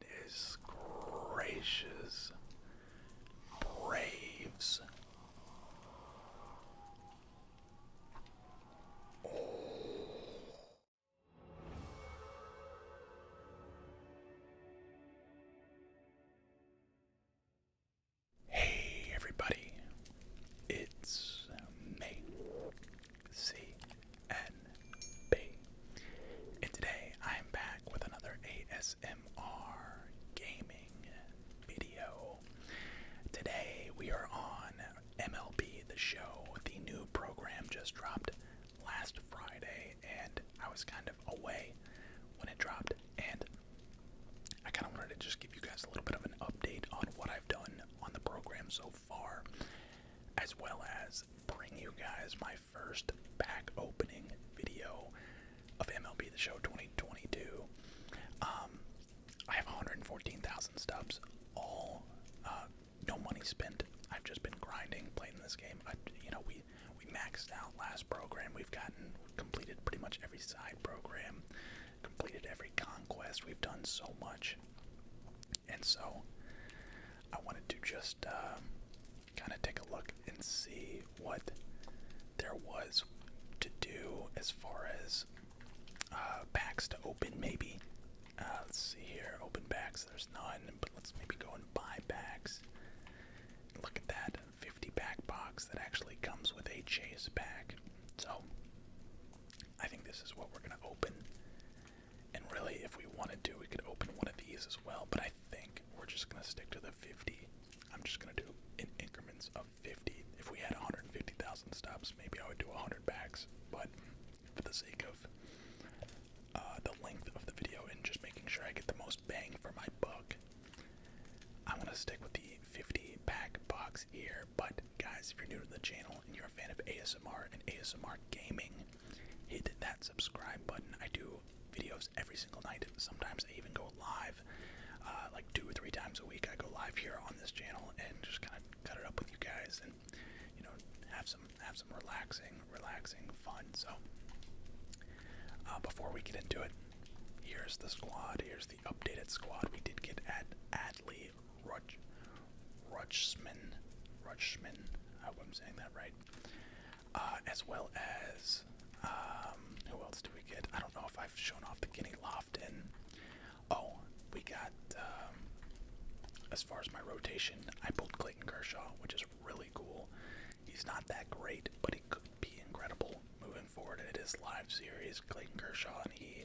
Goodness gracious. Hey everybody, it's me, C N-B. And today I'm back with another ASMR gaming video. Today we are on MLB The Show. The new program just dropped last Friday and I was kind of away when it dropped and I kind of wanted to just give you guys a little bit of an update on what I've done on the program so far, as well as bring you guys my first pack opening video of MLB The Show 2022. Um, I have 114,000 stubs, all uh, no money spent. I've just been grinding, playing this game. I, you know, we we maxed out last program. We've gotten completed pretty much every side program, completed every conquest. We've done so much. And so I wanted to just um, kind of take a look and see what there was to do as far as uh, packs to open, maybe. Uh, let's see here, open packs, there's none, but let's maybe go and buy packs. Look at that 50 pack box that actually comes with a chase pack. So I think this is what we're going to open. And really, if we wanted to, we could open one of these as well. But I think we're just going to stick to the 50. I'm just going to do in increments of 50. If we had 150,000 stops, maybe I would do 100 packs. But for the sake of uh, the length of the video and just making sure I get the most bang for my buck, I'm going to stick with the 50 pack box here. But guys, if you're new to the channel and you're a fan of ASMR and ASMR gaming, hit that subscribe button. I do videos every single night. Sometimes I even go live, uh, like two or three times a week. I go live here on this channel and just kind of cut it up with you guys and you know have some have some relaxing, relaxing fun. So uh, before we get into it, here's the squad. Here's the updated squad. We did get at Adley Rutsch, Rutschman, Rutschman. I hope i saying that right. Uh, as well as um, who else do we get? I don't know if I've shown off the Guinea Lofton. Oh, we got. Um, as far as my rotation, I pulled Clayton Kershaw, which is really cool. He's not that great, but he could be incredible moving forward. It is live series, Clayton Kershaw, and he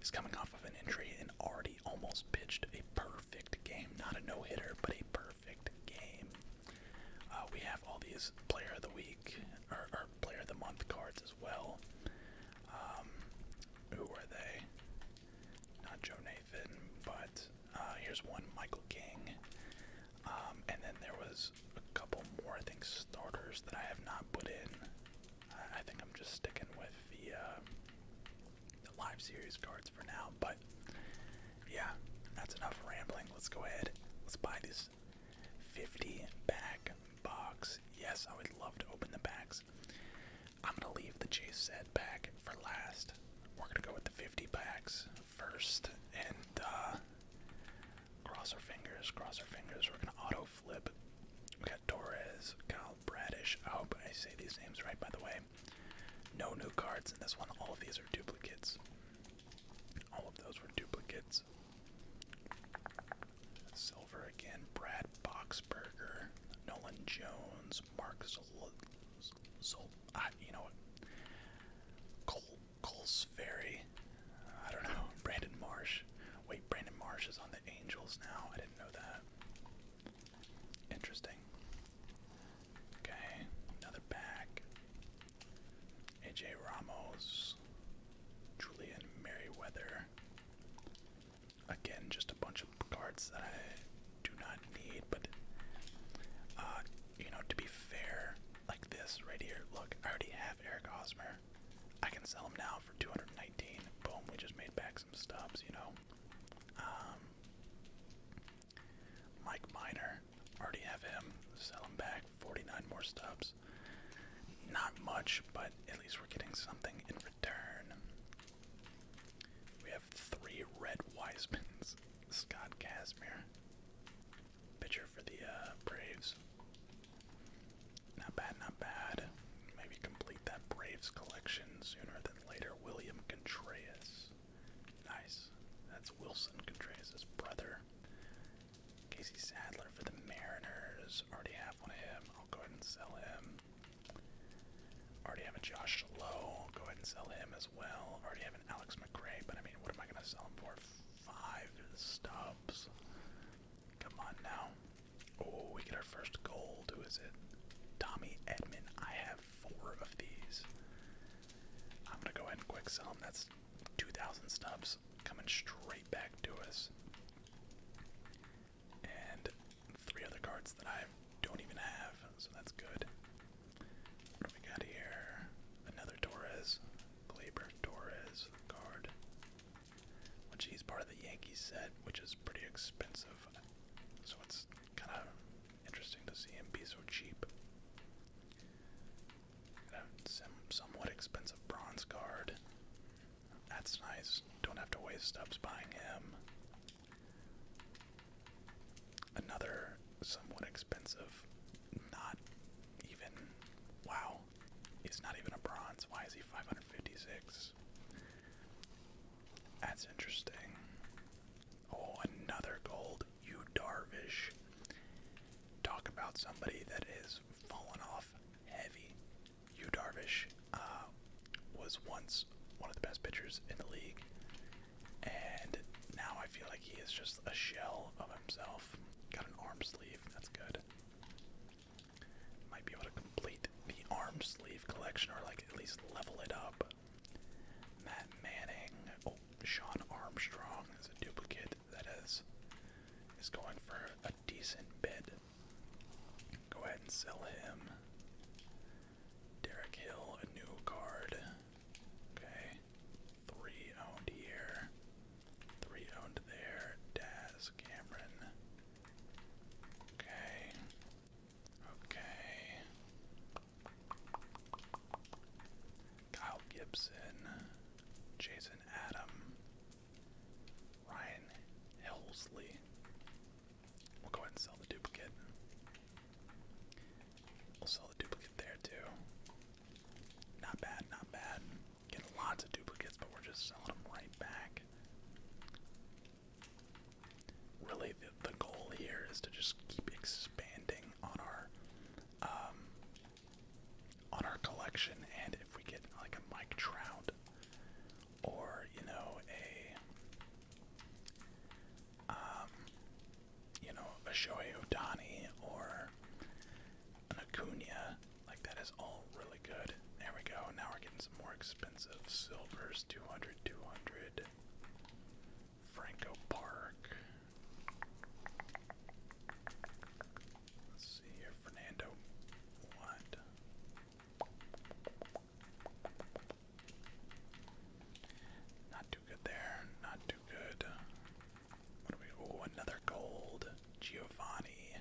is coming off of an injury in our Hardy almost pitched a perfect game. Not a no hitter, but a perfect game. Uh, we have all these player of the week, or, player of the month cards as well. Um, who are they? Not Joe Nathan, but uh, here's one Michael King. Um, and then there was a couple more, I think, starters that I have not put in. I, think I'm just sticking with the uh, live series cards for now. But yeah, that's enough rambling. Let's go ahead. Let's buy this 50 pack box. Yes, I would love to open the packs. I'm gonna leave the chase set pack for last. We're gonna go with the 50 packs first and uh, cross our fingers, cross our fingers. We're gonna auto Go flip. We got Torres, Kyle Bradish. I hope I say these names right, by the way. No new cards in this one. All of these are duplicates. All of those were duplicates. Silver again. Brad Boxberger, Nolan Jones, Mark Zol. Zol ah, you know what? Col Colsferry. I don't know. Brandon Marsh. Wait, Brandon Marsh is on the Angels now. I didn't know that. Interesting. Okay, another back. AJ Ramos, Julian Merriweather. Again, just a bunch of cards that I do not need, but uh, you know, to be fair, like this right here. Look, I already have Eric Hosmer. I can sell them now for 219. Boom, we just made back some stubs, you know. Um, Mike Miner, already have him. Sell him back, 49 more stubs. Not much, but at least we're getting something in return. We have three red Wisemans. Scott Casimir, pitcher for the uh, Braves. Not bad, not bad. Maybe complete that Braves collection sooner than later. William Contreras. Nice. That's Wilson Contreras' brother. Casey Sadler for the Mariners. Already have one of him. I'll go ahead and sell him. Already have a Josh Lowe. I'll go ahead and sell him as well. Already have an Alex McRae, but I mean, what am I going to sell him for? Five stubs. Come on now. Oh, we get our first gold. Who is it? Tommy Edmond. I have four of these. I'm gonna go ahead and quick sell them. That's 2,000 stubs coming straight back to us. And three other cards that I don't even have, so that's good. What do we got here? Another Torres. Glaber Torres card which he's part of the Yankees set, which is pretty expensive. So it's kind of interesting to see him be so cheap. somewhat expensive bronze card. That's nice. Don't have to waste stubs buying him. Another somewhat expensive, not even wow, He's not even a bronze. Why is he 556? That's interesting. Oh, another gold. You Darvish. Talk about somebody that is falling off heavy. You Darvish uh, was once one of the best pitchers in the league, and now I feel like he is just a shell of himself. Got an arm sleeve. That's good. Might be able to complete the arm sleeve collection or like at least level it up. Matt Manning, oh, Sean Armstrong is a duplicate that is is going for a decent bid. Go ahead and sell him. Derek Hill, a new card. Okay. Three owned here. Three owned there. Daz, Cameron. Okay. Okay. Kyle Gibson. Jason Adam. Ryan Helsley. We'll go ahead and sell the duplicate. We'll sell the duplicate there too. Not bad, not bad. Getting lots of duplicates, but we're just selling them right back. Really, the, the goal here is to just keep expanding on our um, on our collection, and if we get like a Mike Trout or you know a um, you know a Shohei Otani or an Acuna, like that is all really good. There we go. Now we're getting some more expensive silvers. 200, 200. Franco Park. Let's see here, Fernando. What? Not too good there. Not too good. Oh, another gold. Giovanni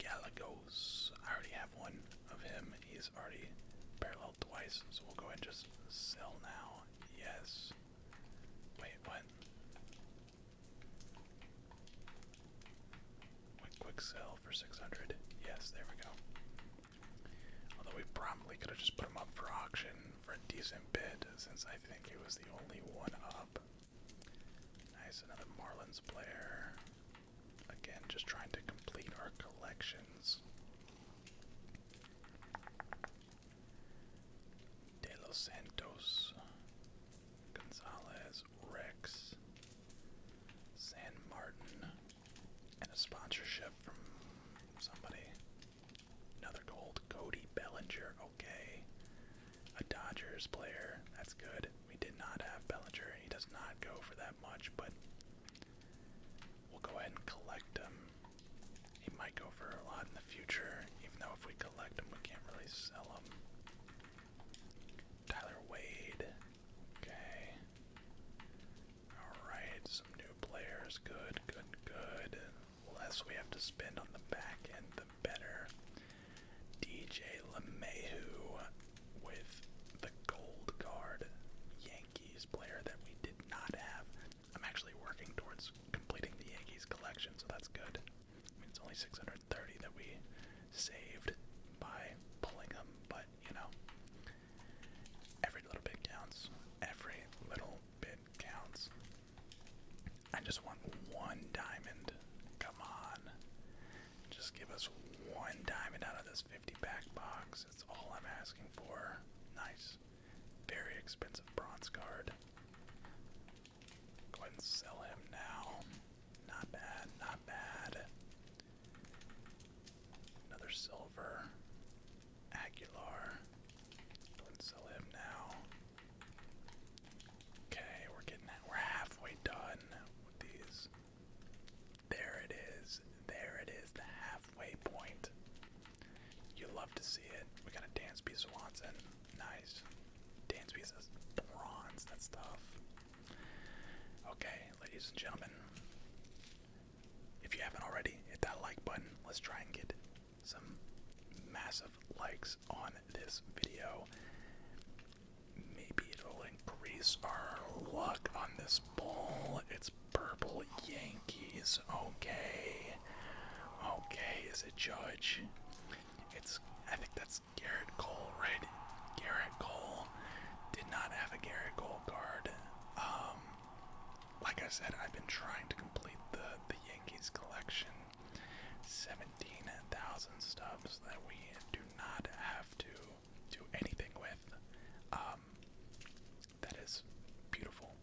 Galagos. I already have one of him. He's already paralleled twice, so we'll go ahead and just sell now. Yes. Wait, what? quick sell for 600. Yes, there we go. Although we probably could have just put him up for auction for a decent bid, since I think he was the only one up. Nice, another Marlins player. Again, just trying to complete our collections. De Los Santos, Gonzalez, Rex, San Martin, and a sponsorship from somebody. Another gold, Cody Bellinger, okay a Dodgers player. That's good. We did not have Bellinger. He does not go for that much, but we'll go ahead and collect him. He might go for a lot in the future, even though if we collect him, we can't really sell him. Tyler Wade. Okay. Alright, some new players. Good, good, good less we have to spend on the back end, the better. DJ LeMahieu with the gold Guard Yankees player that we did not have. I'm actually working towards completing the Yankees collection, so that's good. it's only 630 that we saved by pulling them, but you know, every little bit counts. Every little bit counts. I just want one diamond. Come on. Just give us one diamond out of this 50 pack box. That's all I'm asking for. Nice. Very expensive bronze card. Go ahead and sell him now. Not bad, not bad. Another silver. Aguilar. Let's sell him now. Okay, we're getting that. We're halfway done with these. There it is. There it is. The halfway point. You love to see it. We got a dance piece of Nice. Dance piece bronze. That's tough. Okay, ladies and gentlemen. If you haven't already, hit that like button. Let's try and get some massive likes on this video. Maybe it'll increase our luck on this bowl. It's purple Yankees. Okay. Okay, is it Judge? It's I think that's Garrett Cole, right? Garrett Cole did not have a Garrett Cole card. Um like I said, I've been trying to complete the the Yankees collection. 17,000 stubs that we do not have to do anything with. Um, that is beautiful.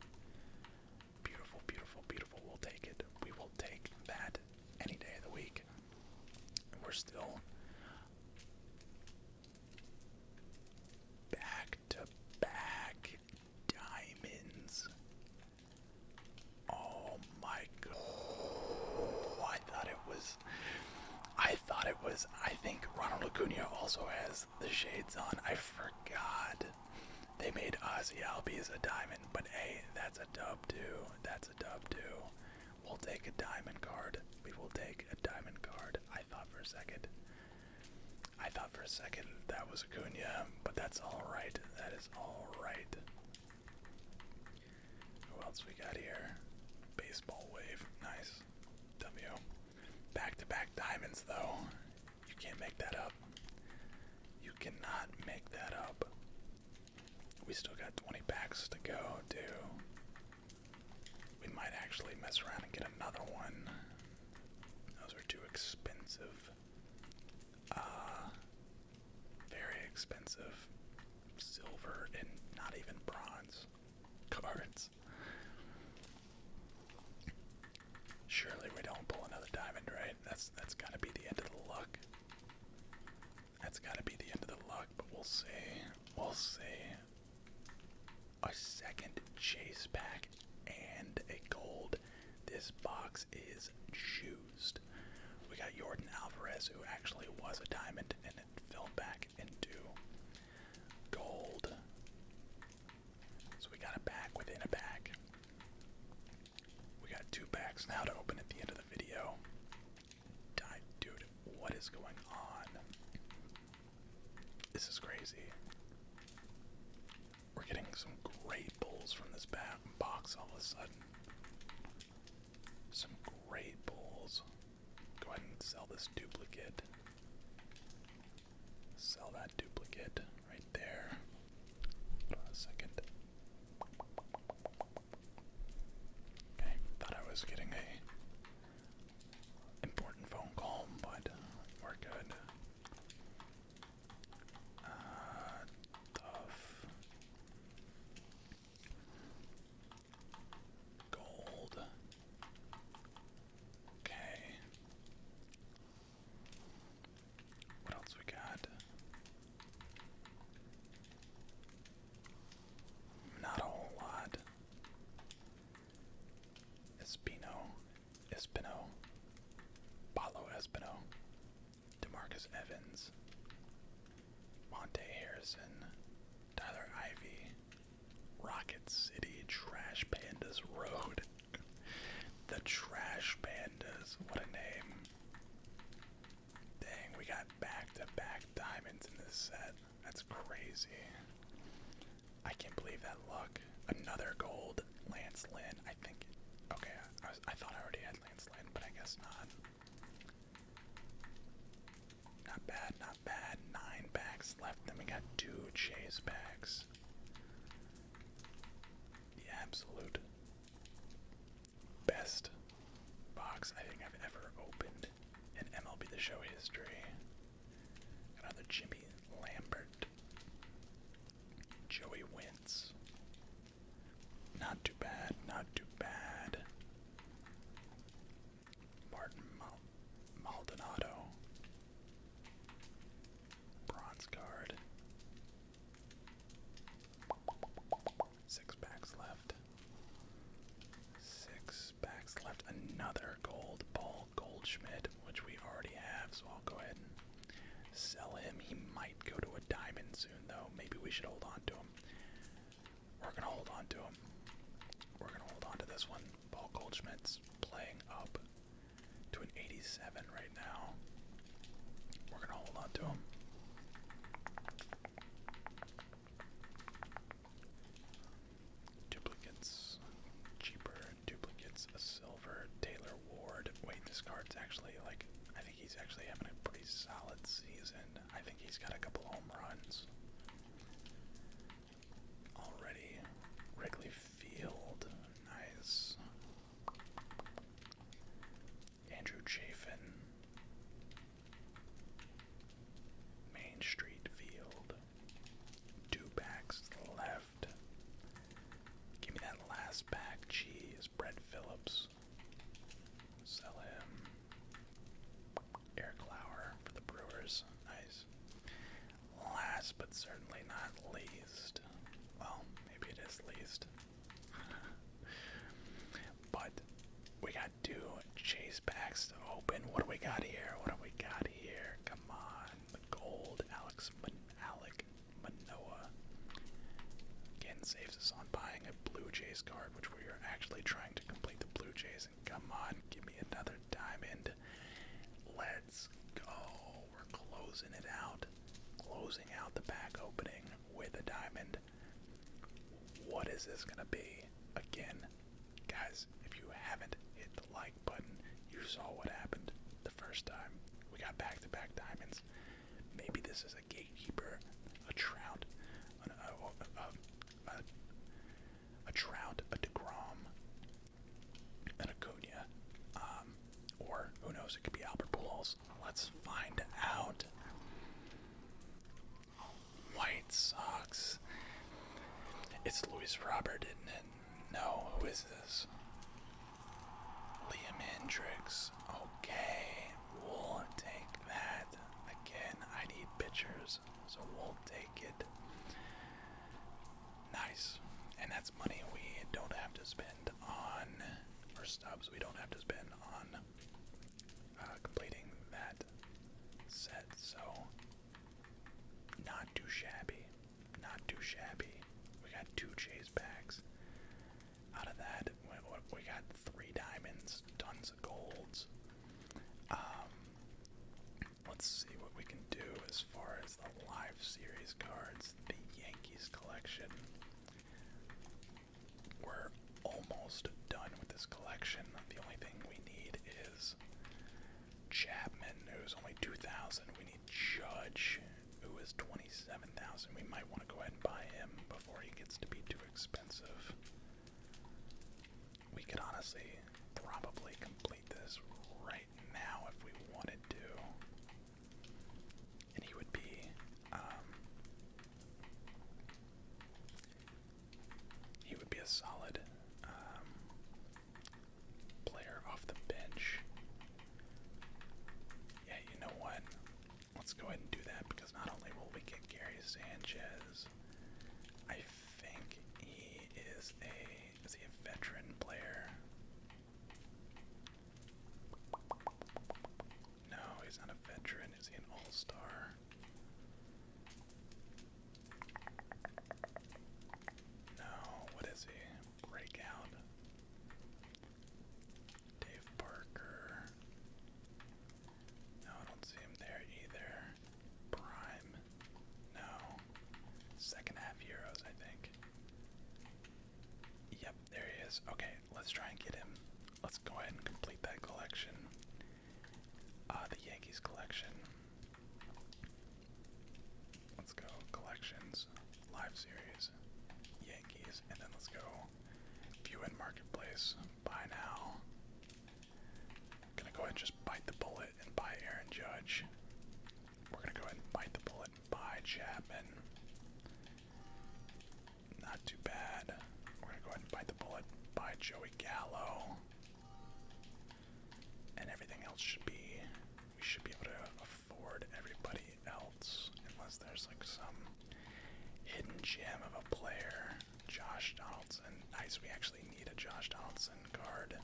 Beautiful, beautiful, beautiful. We'll take it. We will take that any day of the week. And we're still back to back diamonds. Oh my god. I thought it was. I thought it was. I think Ronald Acuna also has the shades on. I forgot. They made Ozzy Albies a diamond, but hey, that's a dub too. That's a dub too. We'll take a diamond card. We will take a diamond card. I thought for a second. I thought for a second that was a Acuna, but that's alright. That is alright. Who else we got here? Baseball wave. Nice. W. Back to back diamonds, though. You can't make that up. You cannot make that up. We still got 20 packs to go, too. We might actually mess around and get another one. Those are too expensive. Uh, very expensive silver and not even bronze cards. Surely we don't pull another diamond, right? That's that's gotta be the end of the luck. That's gotta be the end of the luck, but we'll see. We'll see a second chase pack, and a gold. This box is juiced. We got Jordan Alvarez, who actually was a diamond, and it fell back into gold. So we got a pack within a pack. We got two packs now to open at the end of the video. Dude, what is going on? This is crazy. We're getting some great bowls from this bat box all of a sudden. Some great bowls. Go ahead and sell this duplicate. Sell that duplicate right there. Hold Okay, thought I was getting a important phone call, but uh, we're good. Uh, tough. Gold. Okay. What else we got? Not a whole lot. Espino Espino, Paulo Espino, Demarcus Evans, Monte Harrison, Tyler Ivy, Rocket City, Trash Pandas Road. the Trash Pandas, what a name. Dang, we got back to back diamonds in this set. That's crazy. I can't believe that luck. Another gold, Lance Lynn. I think. Okay, I, was, I thought I already had Lance Lynn, but I guess not. Not bad, not bad. Nine packs left. Then we got two chase packs. The absolute best box I think I've ever opened in MLB The Show history. Another Jimmy Lambert. Joey Wentz. Not too bad, not too bad. Martin Maldonado. Bronze card. Six packs left. Six packs left. Another gold ball Goldschmidt, which we already have, so I'll go ahead and sell him. He might go to a diamond soon, though. Maybe we should hold on to him. We're going to hold on to him. We're going to hold on to this one. Paul Goldschmidt's playing up to an 87 right now. We're going to hold on to him. Duplicates, cheaper. Duplicates, a silver. Taylor Ward. Wait, this card's actually like, I think he's actually having a pretty solid season. I think he's got a couple home runs. Already, Wrigley Field, nice. Andrew Chafin, Main Street Field, Two backs left. Give me that last pack. Cheese. Brett Phillips. Sell him. Eric Lauer for the Brewers. Nice. Last but certainly not least. Well, maybe it is least. but we got got to Chase Baxter open. What do we got here? What do we got here? Come on, the gold. Alex Man again saves us on buying a Blue Jays card, which we are actually trying to complete the Blue Jays. And come on, give me another diamond. Let's go. We're closing it out, closing out the back opening with a diamond. What is this gonna be? Again, Guys, if you haven't hit the like button, you saw what happened the first time. We got back to back diamonds. Maybe this is a gatekeeper, a trout, a, trout, a DeGrom, an Acuna, um, or who knows, it could be Albert Pujols. Let's find out. White socks. It's Louis Robert, isn't it? No, who is this? Liam Hendrix. Okay, we'll take that. Again, I need pictures, so we'll take it. Nice. And that's money we don't have to spend on, our stubs we don't have to spend on uh, completing that set. So, not too shabby. Not too shabby. We got two chase packs. Out of that, we, got three diamonds, tons of golds. Um, let's see what we can do as far as the live series cards. The Yankees collection. We're almost done with this collection. The only thing we need is Chapman, who's only 2,000. We need Judge, who is 27,000. We might want to go ahead and buy him before he gets to be too expensive. We could honestly probably complete this right now if we wanted to. And he would be, um, he would be a solid um, player off the bench. Yeah, you know what? Let's go ahead and do that because not only will we get Gary Sanchez, I think he is a is he a veteran player? No, he's not a veteran. Is he an all-star? No, what is he? Breakout. Dave Parker. No, I don't see him there either. Prime. No. Second half Euros, I think. Yep, there he is. Okay, let's try and get him. Let's go ahead and complete that collection. Uh, the Yankees collection. Let's go collections, live series, Yankees, and then let's go view in marketplace. Buy now. Gonna go ahead and just bite the bullet and buy Aaron Judge. We're gonna go ahead and bite the bullet and buy Chapman. Not too bad. We're gonna go ahead and bite the bullet. Buy Joey Gallo. And everything else should be we should be able to afford everybody else unless there's like some hidden gem of a player. Josh Donaldson. Nice, we actually need a Josh Donaldson card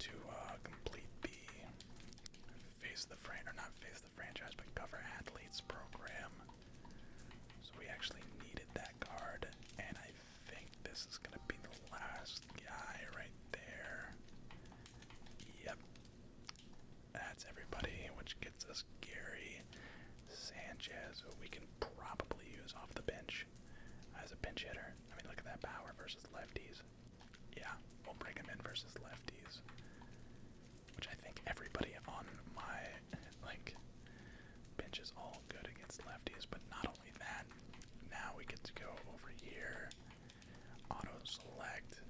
to uh, complete the face the fran or not face the franchise but cover athletes program. So we actually needed that card, and I think this is gonna be the last guy right there. Yep. That's everybody, which gets us Gary Sanchez, who we can probably use off the bench as a pinch hitter. I mean, look at that power versus lefties. Yeah, we'll bring him in versus lefties which I think everybody on my like is all good against lefties. But not only that, now we get to go over here, auto select,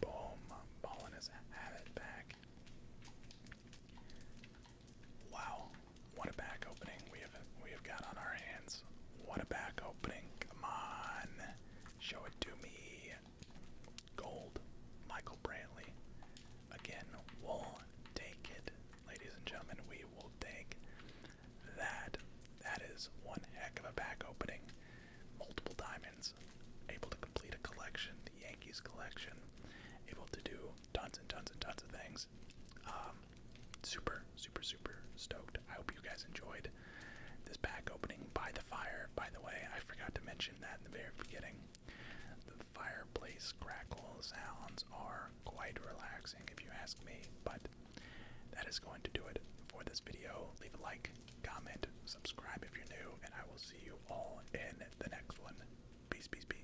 boom, ball in his habit back. Wow, what a back opening we have we have got on our hands. What a back opening. Come on. Show it to me. Gold, Michael Brantley. Again, we'll take it, ladies and gentlemen. We will take that. That is one heck of a pack opening. Multiple diamonds, able to complete a collection, the Yankees collection, able to do tons and tons and tons of things. Um, super, super, super stoked. I hope you guys enjoyed this pack opening by the fire. By the way, I forgot to mention that in the very beginning. The fireplace crackle sounds are quite relaxing if you ask me, but that is going to do it for this video. Leave a like, comment, subscribe if you're new, and I will see you all in the next one. Peace, peace, peace.